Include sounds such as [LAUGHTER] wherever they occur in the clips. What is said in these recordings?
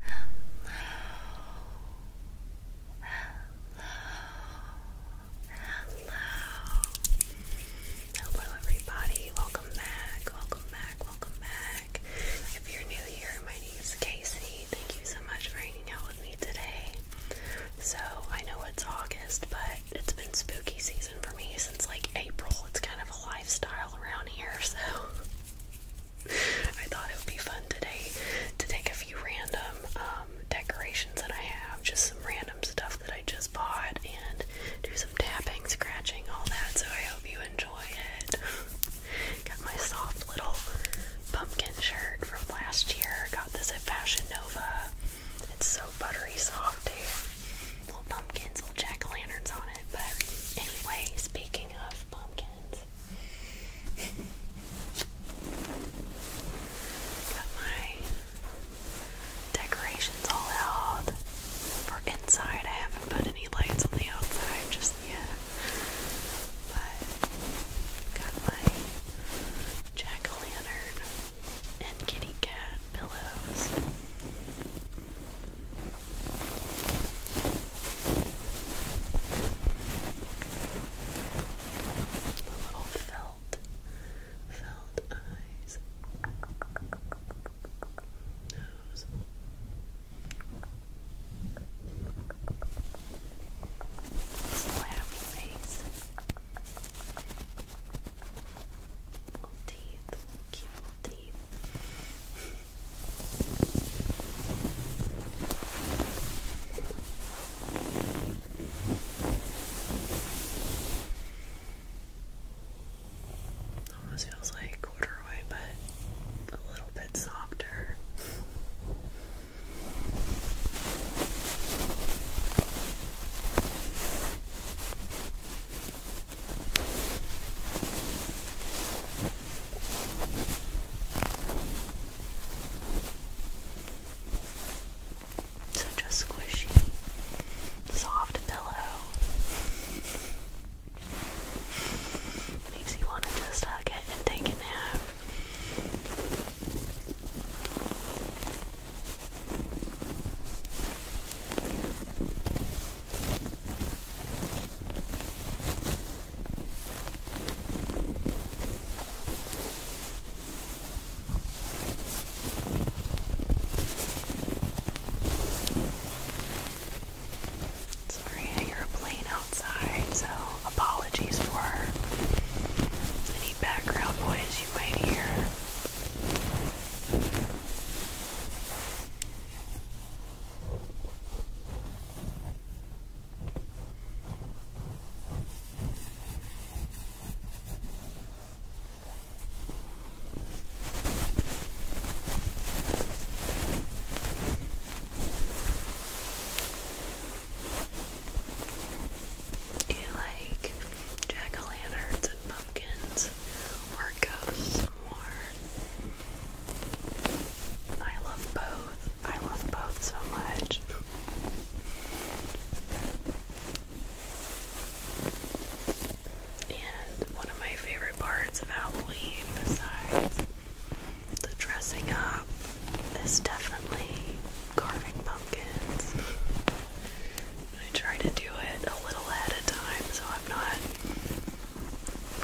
Hello, everybody. Welcome back. Welcome back. Welcome back. If you're new here, my name is Casey. Thank you so much for hanging out with me today. So, I know it's August, but it's been spooky season for me since like April. It's kind of a lifestyle around here, so I thought it would be fun today to take a few random um, decorations that I have, just some random stuff that I just bought, and do some tapping, scratching, all that. So I hope you enjoy it. [LAUGHS] Got my soft little pumpkin shirt from last year. Got this at Fashion Nova. It's so buttery soft, dude. Little pumpkins, little jack-o'-lanterns on it. But anyway, speaking of pumpkins, Got my decorations all out for inside. I haven't put any lights on the outside just yet. But got my jack-o'-lantern and kitty cat pillows. The little felt, felt eyes, nose. Slap face. Little teeth. Cute little Almost feels like corduroy, but a little bit softer. Such a squishy, soft pillow. Makes you want to just hug it and take a nap. Sorry, I hear a plane outside, so apologies for any background noise you might hear. Do you like jack-o'-lanterns and pumpkins or ghosts more? I love both. I love both so much. And one of my favorite parts of Halloween, besides the dressing up, is definitely carving pumpkins. I try to do it a little ahead of time so I'm not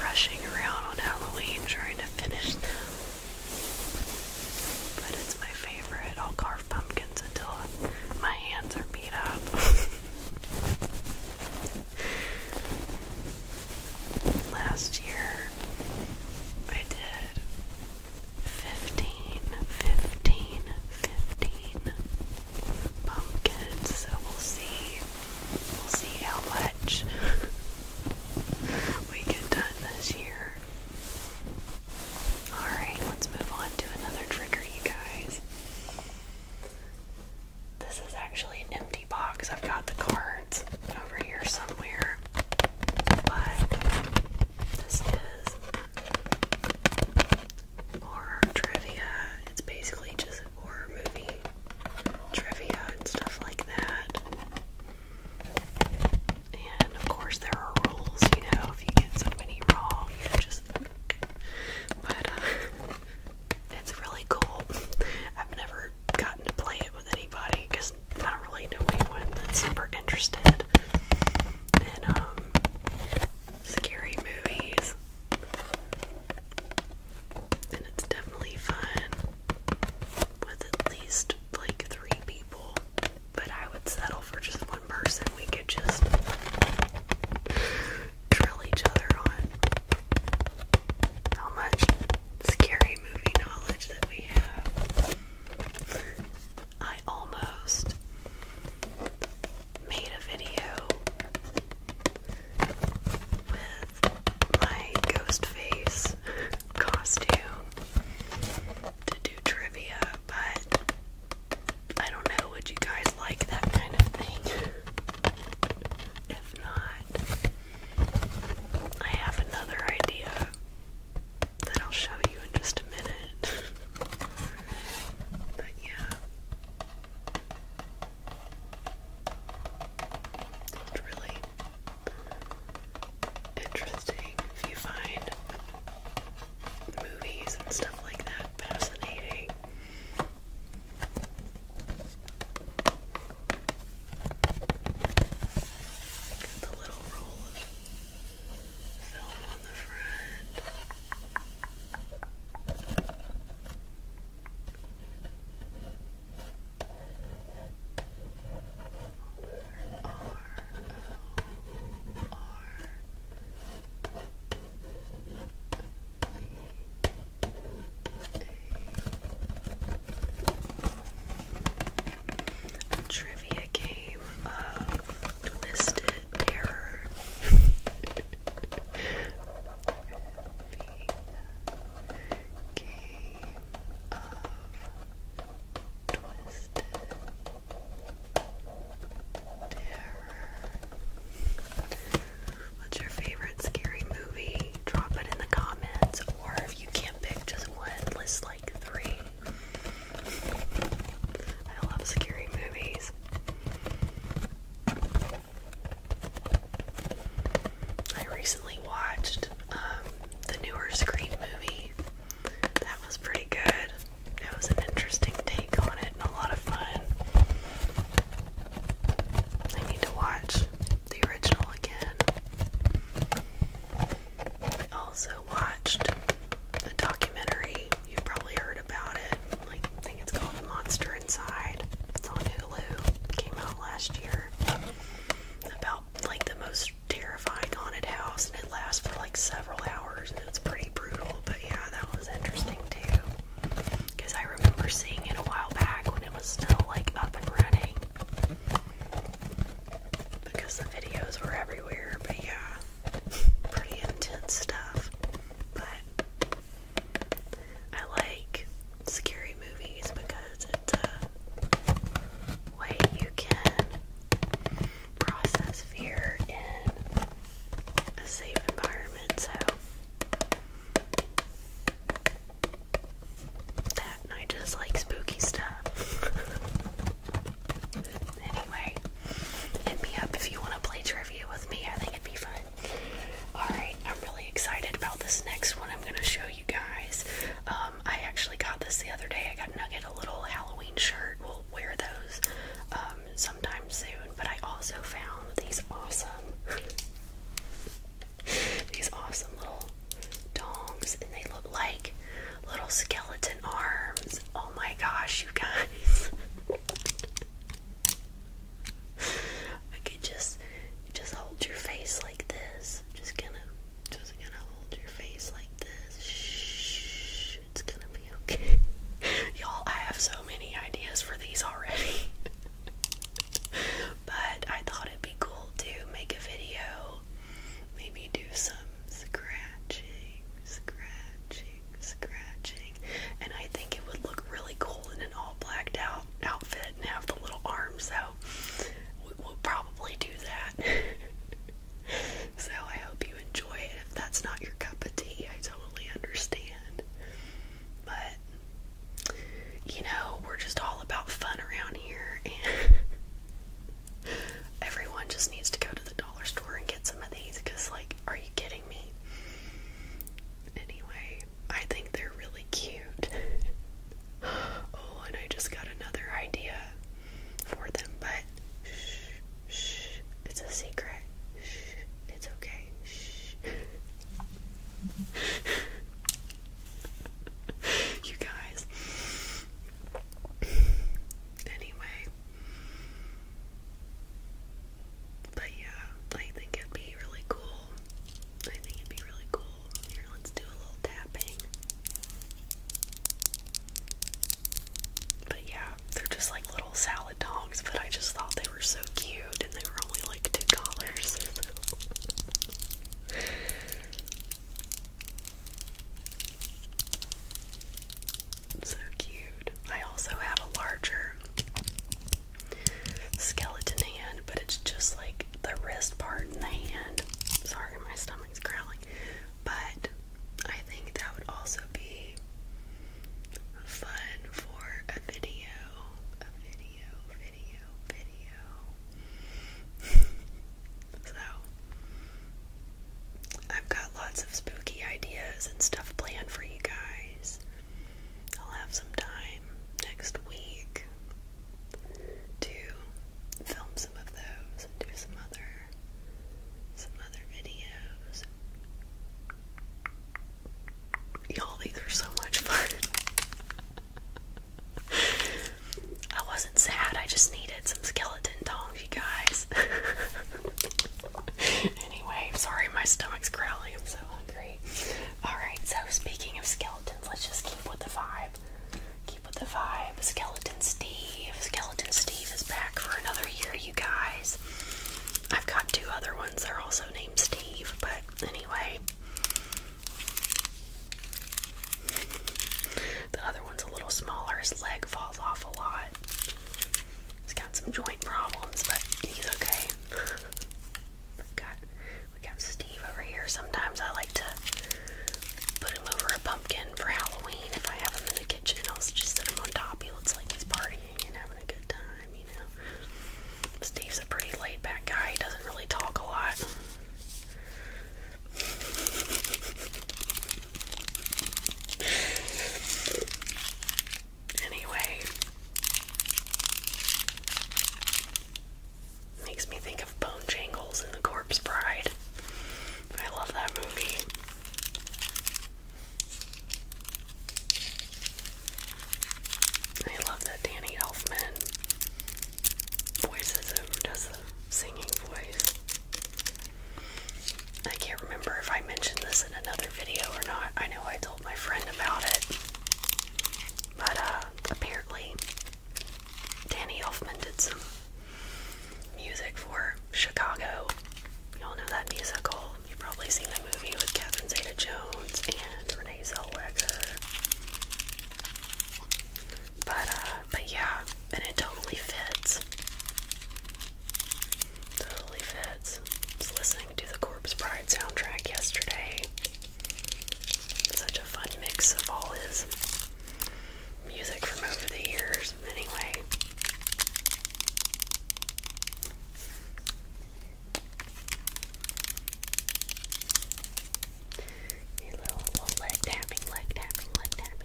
rushing around on Halloween trying to finish them. But it's my favorite. I'll carve pumpkins until my hands are beat up. [LAUGHS] Last year, I did 15, pumpkins, so we'll see We'll see how much [LAUGHS] we get done this year. Alright, let's move on to another trigger, you guys. This is actually an empty box. I've got the cards over here somewhere. But this is horror trivia. It's basically just horror movie trivia and stuff like that. And of course, there are rules, you know, if you get so many wrong, just. But uh, it's really cool. I've never gotten to play it with anybody because I don't really know anyone that's super interested in um, scary movies. And it's definitely fun with at least like three people, but I would settle for just one person. We could just drill each other on how much scary movie knowledge that we have. I almost made a video with my ghost face costume to do trivia, but I don't know, would you guys like that kind of thing? if not, I have another idea that I'll show you in just a minute. [LAUGHS] but yeah. It's really interesting if you find movies and stuff like that fascinating. the little roll of film on the front. A trivia game of twisted terror. What's your favorite scary movie? Drop it in the comments, or if you can't pick just one, list like three. I love scary movies. I recently watched um, the newer Scream movie. That was pretty good. It was an interesting take on it and a lot of fun. I need to watch the original again. I also watched a documentary. You've probably heard about it like I think it's called Monster Inside. It's on Hulu. came out last year. About like the most terrifying haunted house, and it lasts for like several hours, and it's pretty brutal. But yeah, that was interesting too. Because I remember seeing it a while back when it was still like up and running. Because the videos were everywhere, but yeah, pretty intense stuff. But I like scary movies because it's a way you can process fear in a safe environment. So that and I just like spooky stuff. [LAUGHS] anyway, hit me up if you want to play trivia with me. I think it'd be fun. Alright, I'm really excited about this next one I'm going to show you guys. Um, I actually got this the other day. I got Nugget a little Halloween shirt. We'll wear those um, sometime soon. But I also found these awesome, these awesome little dongs. And they look like little skeleton arms. Oh my gosh, you guys. [LAUGHS] okay, just just hold your face like this. Just gonna just gonna hold your face like this. Shh, it's gonna be okay. [LAUGHS] Y'all, I have so many ideas for these already. [LAUGHS] but I thought it'd be cool to make a video. Maybe do some scratching, scratching, scratching amazing. And I think it would look really cool in an all blacked out outfit and have the little arms out. We'll probably do that. [LAUGHS] so I hope you enjoy it. If that's not your cup of tea, I totally understand. But you know, we're just all about fun around here, and [LAUGHS] everyone just needs to go to the dollar store and get some of these. Cause like, are you kidding me? Anyway, I think they're really cute. [GASPS] oh, and I just got another idea for them, but shh, it's a secret. it's okay. [LAUGHS] you guys. Anyway, but yeah, I think it'd be really cool. I think it'd be really cool. Here, let's do a little tapping. But yeah, they're just like little salad dogs, but I just thought they were so cute and they were only like $2. [LAUGHS] so cute. I also have a larger skeleton hand, but it's just like the wrist part and the hand. Sorry, my stomach's growling. But I think that would also be fun for a video. A video, video, video. [LAUGHS] so, I've got lots of spooky ideas and stuff planned for you guys. I'll have some time next week to film some of those and do some other some other videos. Y'all think are so much fun. I wasn't sad, I just needed some skeleton tongs, you guys. [LAUGHS] anyway, sorry my stomach's growling, I'm so hungry. Alright, so speaking of skeletons, let's just keep with the vibe. Keep with the vibe. Skeleton Steve. Skeleton Steve is back for another year, you guys. I've got two other ones. that are also named Steve, but anyway. The other one's a little smaller. His leg falls off a lot. He's got some joint problems, but he's okay. we got we got Steve over here. Sometimes I like to put him over a pumpkin for Halloween. If I have him in the kitchen, I'll just set him on top. He looks like he's partying and having a good time, you know. Steve's a pretty laid back guy, he doesn't really talk a lot. Anyway, makes me think of Bone Jangles and The Corpse Bride. I love that movie. I love that Danny Elfman voices him, does the singing voice. I can't remember if I mentioned this in another video or not. I know I told my friend about it. But uh, apparently, Danny Elfman did some music for Chicago. Y'all know that musical. You've probably seen the movie with Catherine Zeta Jones and Renee Zellweger. But uh, but yeah, and it totally fits. Totally fits. I was listening to the Corpse Bride soundtrack yesterday. Such a fun mix of all his music from over the years. Anyway. A little, little leg tapping, leg tapping, leg tapping.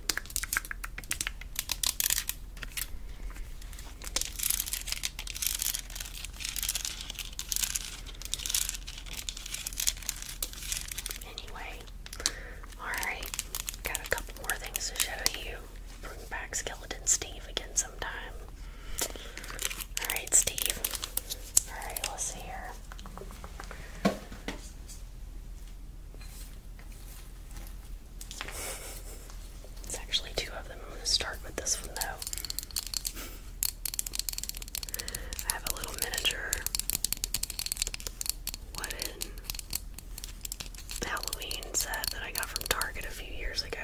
Anyway, alright, got a couple more things to show you. Bring back Skeleton Steve again sometime. Alright, Steve. Alright, let's see here. It's actually two of them. I'm going to start with this one though. I have a little miniature wooden Halloween set that I got from Target a few years ago.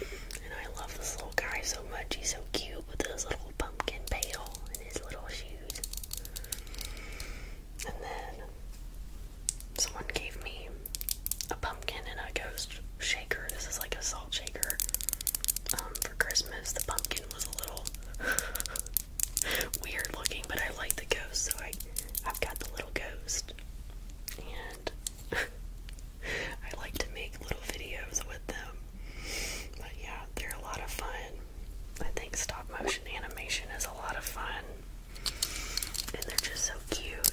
And I love this little guy so much. He's so cute with his little pumpkin pail and his little shoes. And then someone gave me a pumpkin and a ghost shaker. This is like a salt shaker. Um, for Christmas, the pumpkin was a little [LAUGHS] weird looking, but I like the ghost, so I I've got the little ghost, and [LAUGHS] I like to make little videos with them. But yeah, they're a lot of fun. I think stop motion animation is a lot of fun. And they're just so cute.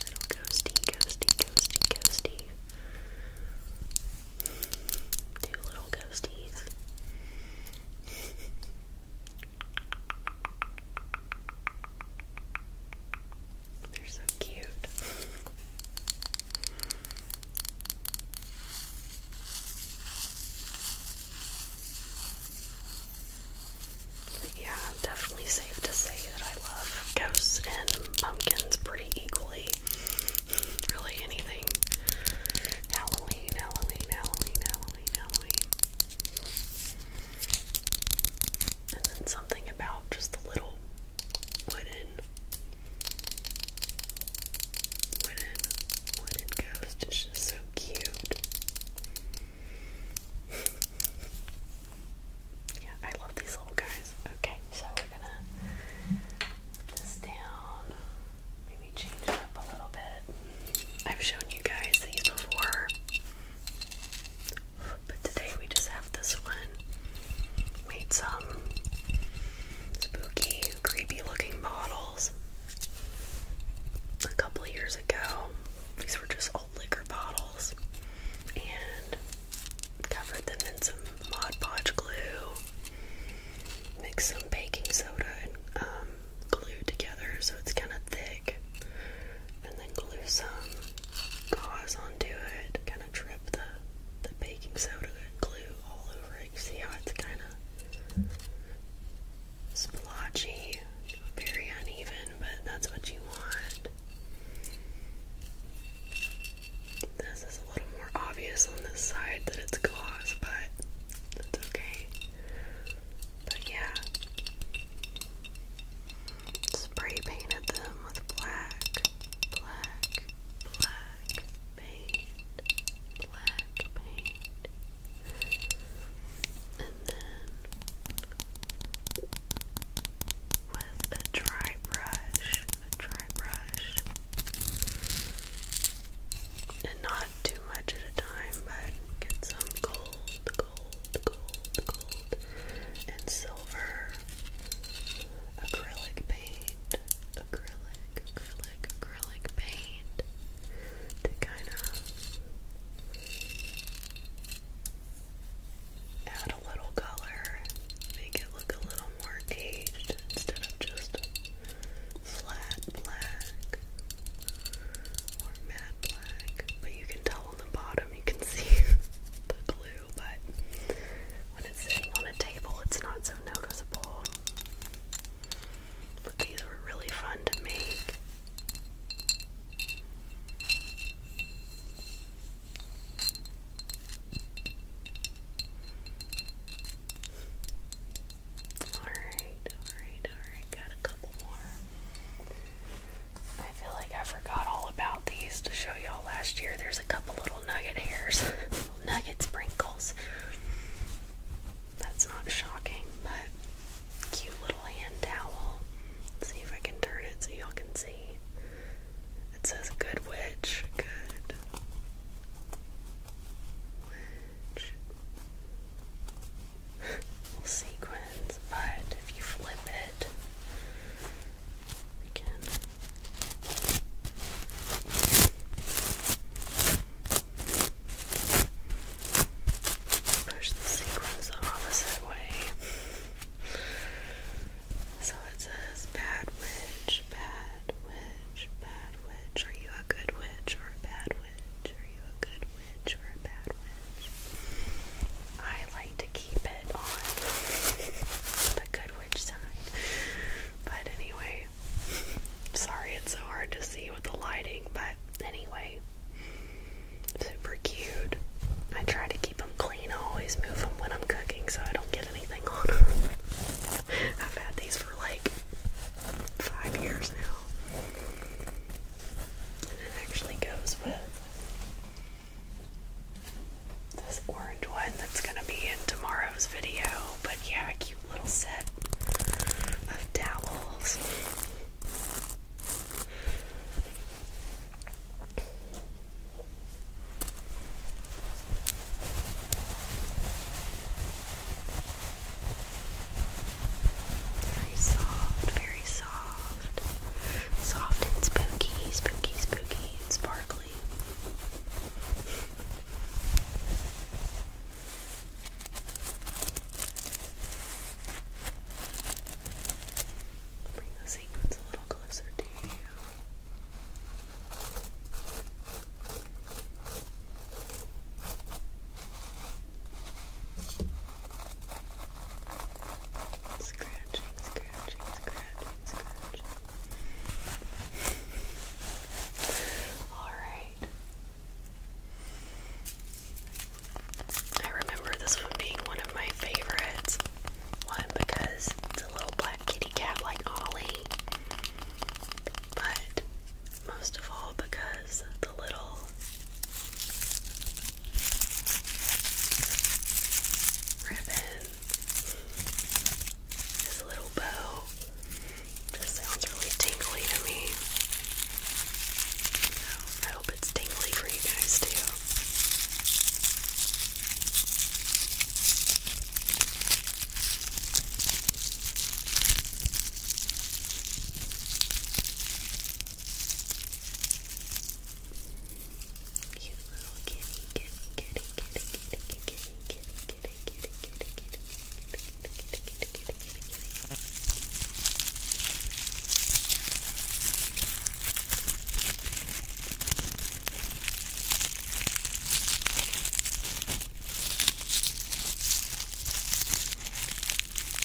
Little ghosty, ghosty, ghosty, ghosty. Two little ghosties. They're so cute. yeah, definitely safe to say that I love ghosts and pumpkins pretty equally. Really anything. Halloween, Halloween, Halloween, Halloween, Halloween and then something about just the little wooden, wooden, wooden ghost. just so cute. [LAUGHS] yeah, I love these little guys. Okay, so we're gonna put this down, maybe change it up a little bit. I've shown you guys these before but today we just have this one. Made some spooky, creepy looking bottles a couple of years ago. These were just old liquor bottles and covered them in some Mod Podge glue, mixed some baking soda and um, glued together so it's kind of thick and then glue some gauze onto it, kind of trip the, the baking soda glue all over it. see how it's kind of splotchy, very uneven, but that's what you want. This is a little more obvious on this side that it's gauze, but that's okay. But yeah, spray painted them with black, black, black paint, black paint, and then with a dry brush, a dry brush, and not too much at a time, but get some gold, gold, gold, gold, and silver. Acrylic paint, acrylic, acrylic, acrylic paint to kind of add a little color, make it look a little more aged instead of just flat black or matte matte black, but you can tell on the bottom you can [LAUGHS] see the glue, but when it's sitting on a table it's not so noticeable. But these were really fun to make. Alright, alright, alright, got a couple more. I feel like I forgot all about these to show y'all last year. There's a couple little nugget hairs, [LAUGHS] nugget sprinkles. That's not shocking, but cute little hand towel. see if I can turn it so y'all can see. It says Good Witch. Good Witch. [LAUGHS] Little sequins, but if you flip it, we can push the sequence the opposite way. So it says, Bad witch, bad witch, bad witch. Are you a good witch or a bad witch? Are you a good witch? a bad wedge. I like to keep it on the good wedge side. But anyway, sorry it's so hard to see with the lighting, but anyway, super cute. I try to keep them clean. I always move them when I'm cooking so I don't get anything on them. [LAUGHS] I've had these for like five years now. And it actually goes with this orange one that's gonna be in tomorrow's video, but yeah, a cute little set of dowels. Very soft, very soft. Soft and spooky, spooky, spooky, and sparkly. Bring the sequins a little closer to you. Scratching, scratching, scratching, scratching. Alright. I remember this one being one of my favorites. One, because it's a little black kitty cat like Ollie. But most of all, because the little ribbon, this little bow. This sounds really tingly to me. I hope it's tingly for you guys too. Cute little kitty, kitty, kitty, kitty, kitty, kitty, kitty, kitty, kitty, kitty, kitty, kitty, kitty, kitty,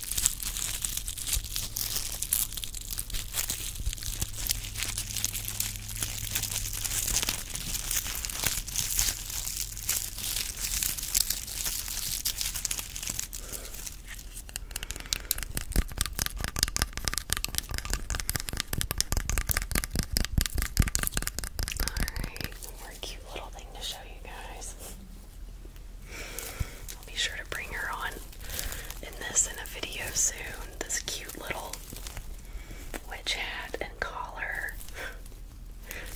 Alright, one more cute little thing to show you guys. I'll be sure to bring her on in this in a video soon. This cute little witch hat and collar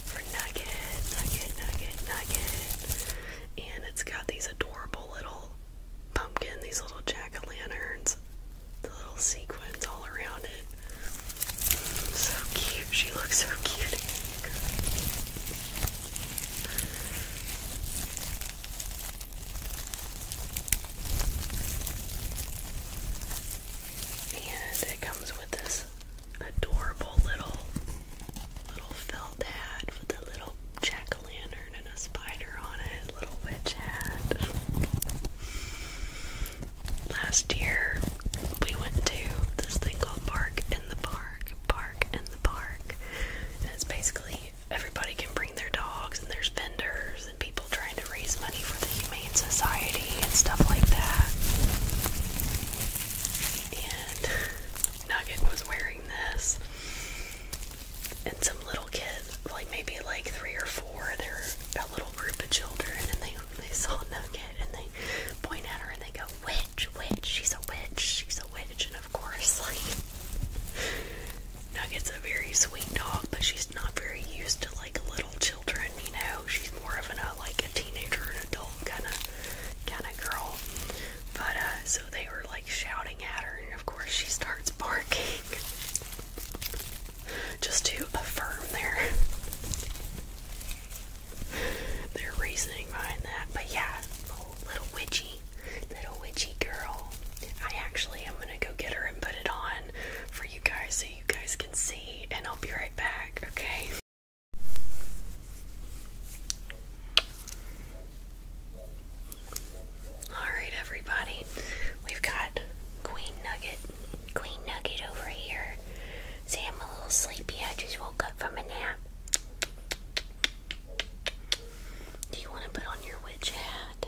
for Nugget, Nugget, Nugget, Nugget. And it's got these adorable little pumpkin, these little jack-o'-lanterns, the little sequins all around it. So cute. She looks so cute. And it comes with this adorable little little felt hat with a little jack-o'-lantern and a spider on it, little witch hat. Last year we went to this thing called Park in the Park park in the park. And it's basically everybody can bring their dogs, and there's vendors and people trying to raise money for the Humane Society and stuff like that. And Nugget was wearing this. And some little kids, like maybe like three or four, they're a little group of children, and they they saw Nugget and they point at her and they go, witch, witch, she's a witch, she's a witch, and of course, like, Nugget's a very sweet dog, but she's not very used to, like, little children, you know? She's more of an, uh, like, a teenager, an adult kind of, kind of girl. But, uh, so they were, like, shouting at her, and of course she starts barking. [LAUGHS] Just to affirm there their reasoning behind that. But yeah, little witchy, little witchy girl. I actually am gonna go get her and put it on for you guys so you guys can see, and I'll be right back, okay? Alright, everybody, we've got Queen Nugget, Queen Nugget over here. See, I'm a little sleepy. I just woke up from a nap. Do you want to put on your witch hat?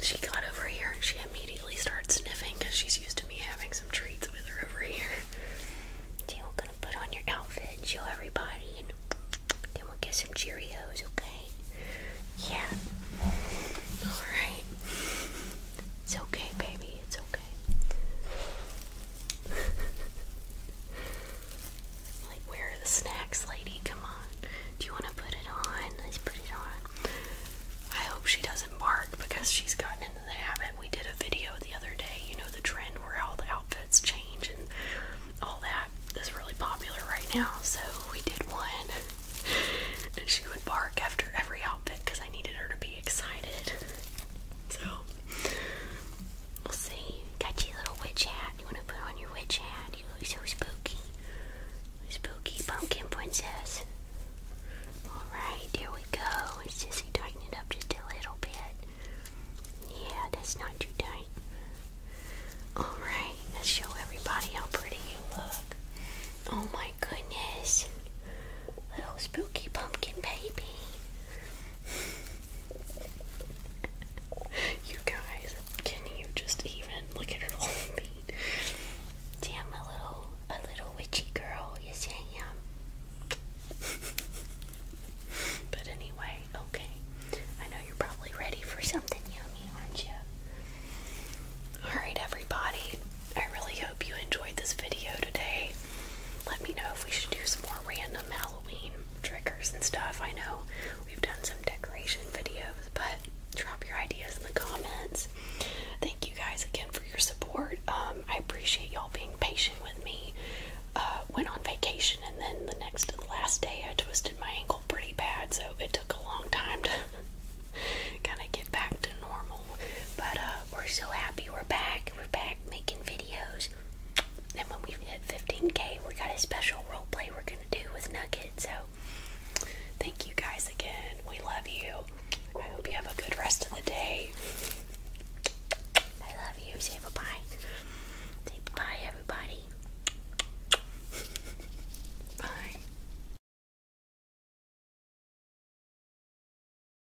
She got over here she immediately started sniffing because she's used to me having some treats with her over here. So we're to put on your outfit and show everybody then we'll get some Cheerios, okay? Yeah. Alright. It's okay, baby, it's okay. [LAUGHS] like, where are the snacks, lady? Come on. Do you want to put it on? Let's put it on. I hope she doesn't bark because she's gotten into the habit. We did a video the other day, you know, the trend where all the outfits change and all that is really popular right now. So we did one, [LAUGHS] and she would bark after every outfit because I needed her to be excited. So We'll see. Got little witch hat. You want to put on your witch hat? You look so spooky. Spooky pumpkin princess. Alright, there we go. Let's just tighten it up just a little bit. Yeah, that's not too tight. Alright, let's show everybody how pretty you look. Oh my goodness. Little spooky pumpkin baby. [LAUGHS] you guys, can you just even look at her whole feet? Damn, a little, a little witchy girl. Yes, I am. [LAUGHS] but anyway, okay. I know you're probably ready for something yummy, aren't you? Alright, everybody. I really hope you enjoyed this video today let me know if we should do some more random Halloween triggers and stuff. I know we've done some decoration videos, but drop your ideas in the comments. Thank you guys again for your support. Um, I appreciate y'all being patient with me. Uh, went on vacation and then the next last day I twisted my ankle pretty bad, so it took a long time to [LAUGHS] kind of get back to normal. But uh, we're so happy we're back. We're back making videos. And when we hit 15k, we got a special role play we're gonna do with Nugget. So thank you guys again. We love you. I hope you have a good rest of the day. I love you. Say bye-bye. Say bye everybody. bye.